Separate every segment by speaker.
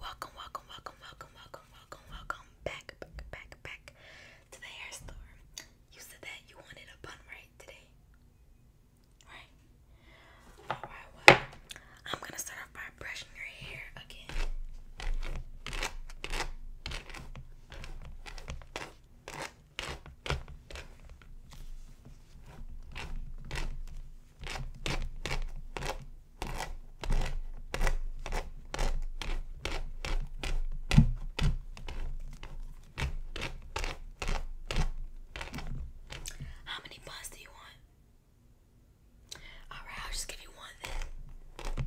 Speaker 1: Welcome, welcome, welcome, welcome, welcome, welcome, welcome back, back, back, back to the hair store. You said that you wanted a bun right today, right? All right. Well, I'm gonna start off by brushing your hair again. How many buns do you want? Alright, I'll just give you one then.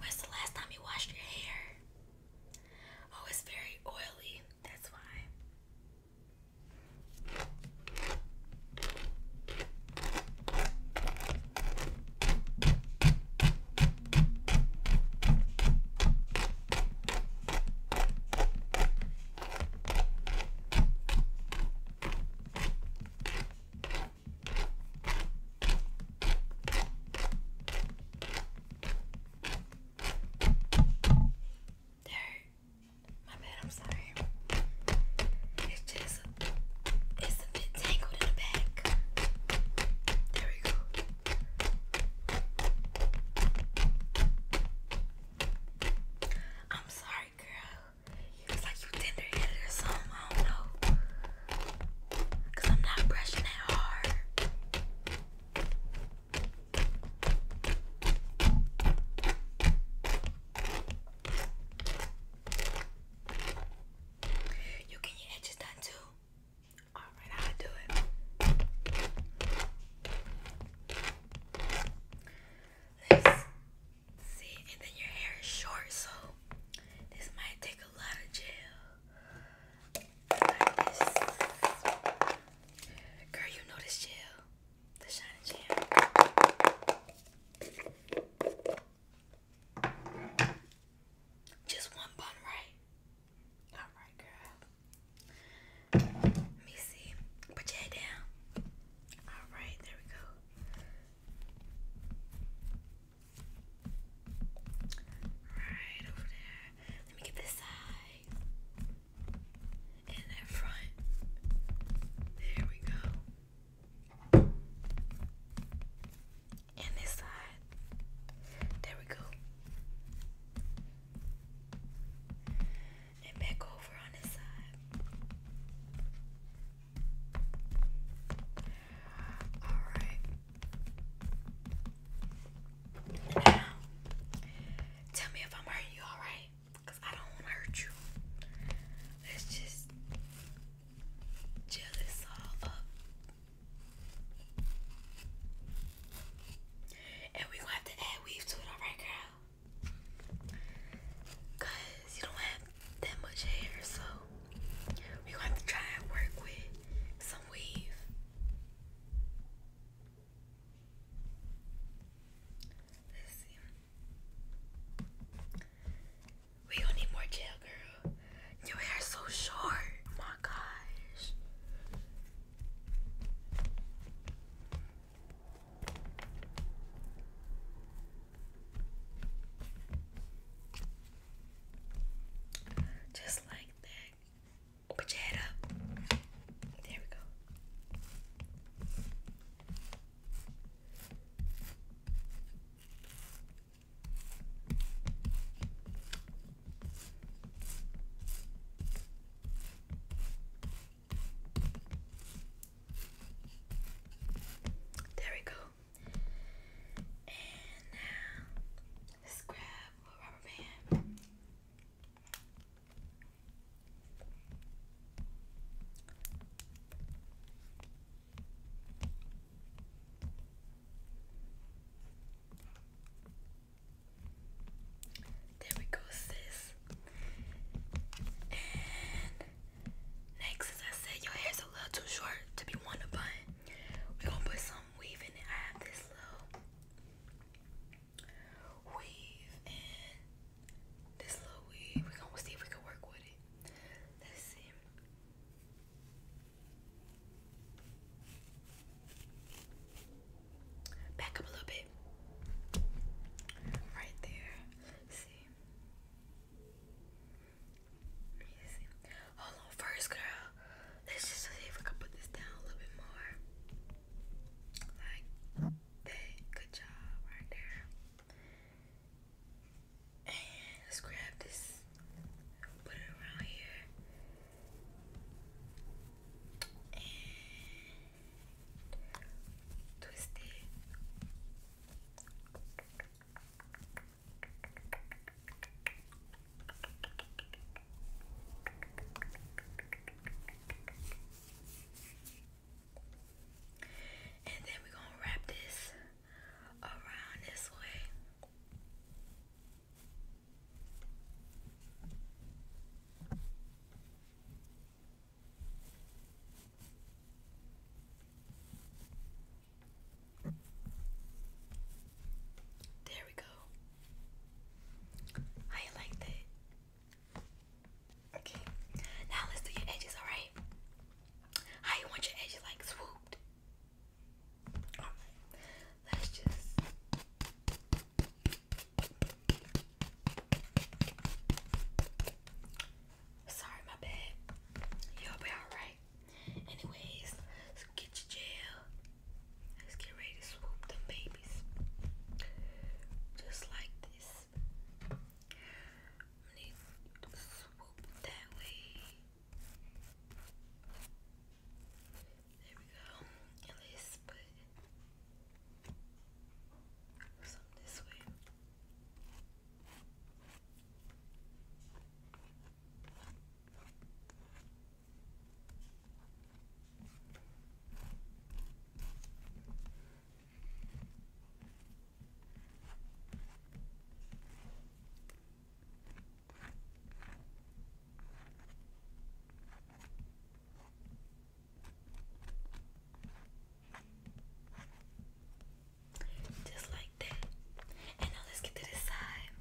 Speaker 1: When's the last time you washed your hair? Oh, it's very oily. That's why. There. My bad, I'm sorry. It's just it's a bit tangled in the back. There we go. I'm sorry, girl. It's like you tender headed or something. I don't know. Cause I'm not brushing that hard. You get your edges done too. Alright, i do it. let See, and then your hair is short, so this might take a lot of gel. Girl, you know this gel. The shiny gel. Just one bun, right? Alright, girl. Let me see. Put your head down. Alright, there we go. Right over there. Let me get this side. And that front. There we go. And this side. There we go and back over on his side. Alright. Now, tell me if I'm hurting you, alright? Because I don't want to hurt you. Let's just gel this all up. And we gonna have to add weave to it, alright, girl? Cause you don't have that much hair, so we gonna have to try and work with some weave. We gonna need more gel, girl. Your hair's so short. my gosh. Just like that. put your head up. There we go. There we go. And now let's grab a rubber band. There we go, sis. And next, as I said, your hair's a little too short to be one to bun. we gonna put some weave in it. I have this little weave and this little weave. we gonna see if we can work with it. Let's see. Back up a little bit. Right there. see. Hold on, first girl. Let's just see if I can put this down a little bit more. Like that. Good job right there. let's grab this. Put it around here and twist then we're going to wrap this around this way. There we go. I like that. Okay. Now let's do your edges, alright? How want your edges like swooped? Alright, just. Sorry, my bad. You'll be alright. Anyways, get your gel. Let's get ready to swoop them babies. Just like this. I'm gonna swoop that way. There we go. And let put some this way. Just like that. And now let's get to this side.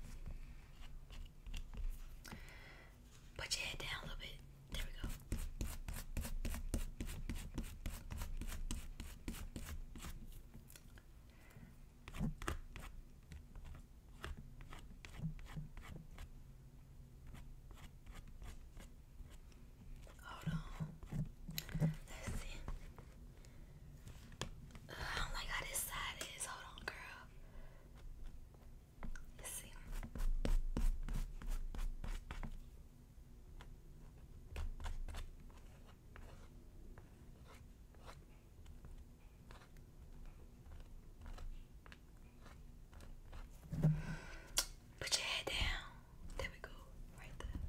Speaker 1: Put your head down a little bit. There we go. Hold on. let I don't like how this side is. Hold on, girl. let see. Put your head down. There we go, right there.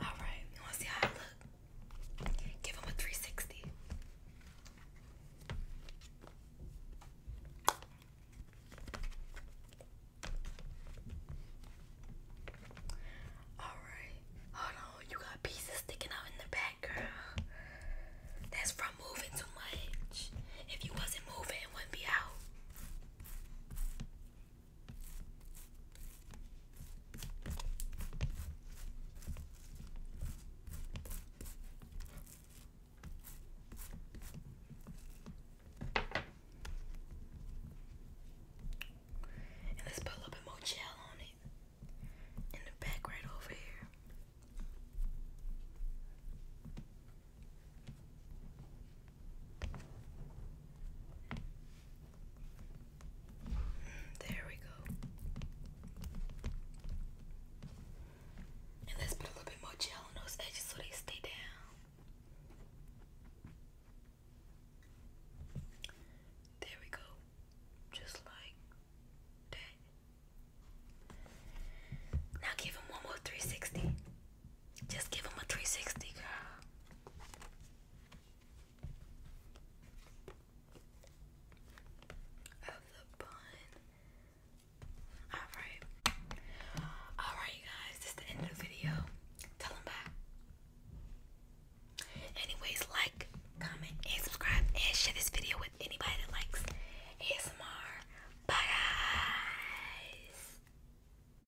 Speaker 1: Alright, you want see how I look? Give him a 360. Alright. Oh no, you got pieces sticking out in the back, girl. That's from moving too much. If you wasn't moving, it wouldn't be out. And let's put a little bit more gel on it in the back right over here. There we go. And let's put a little bit more gel on those edges so they stay down. There we go. Just like that. Now give him one more 360. Just give him a 360, girl of Alright. Alright, you guys, this the end of the video. Tell them bye. Anyways, like, comment, and subscribe, and share this video with anybody that likes ASMR. Bye, guys.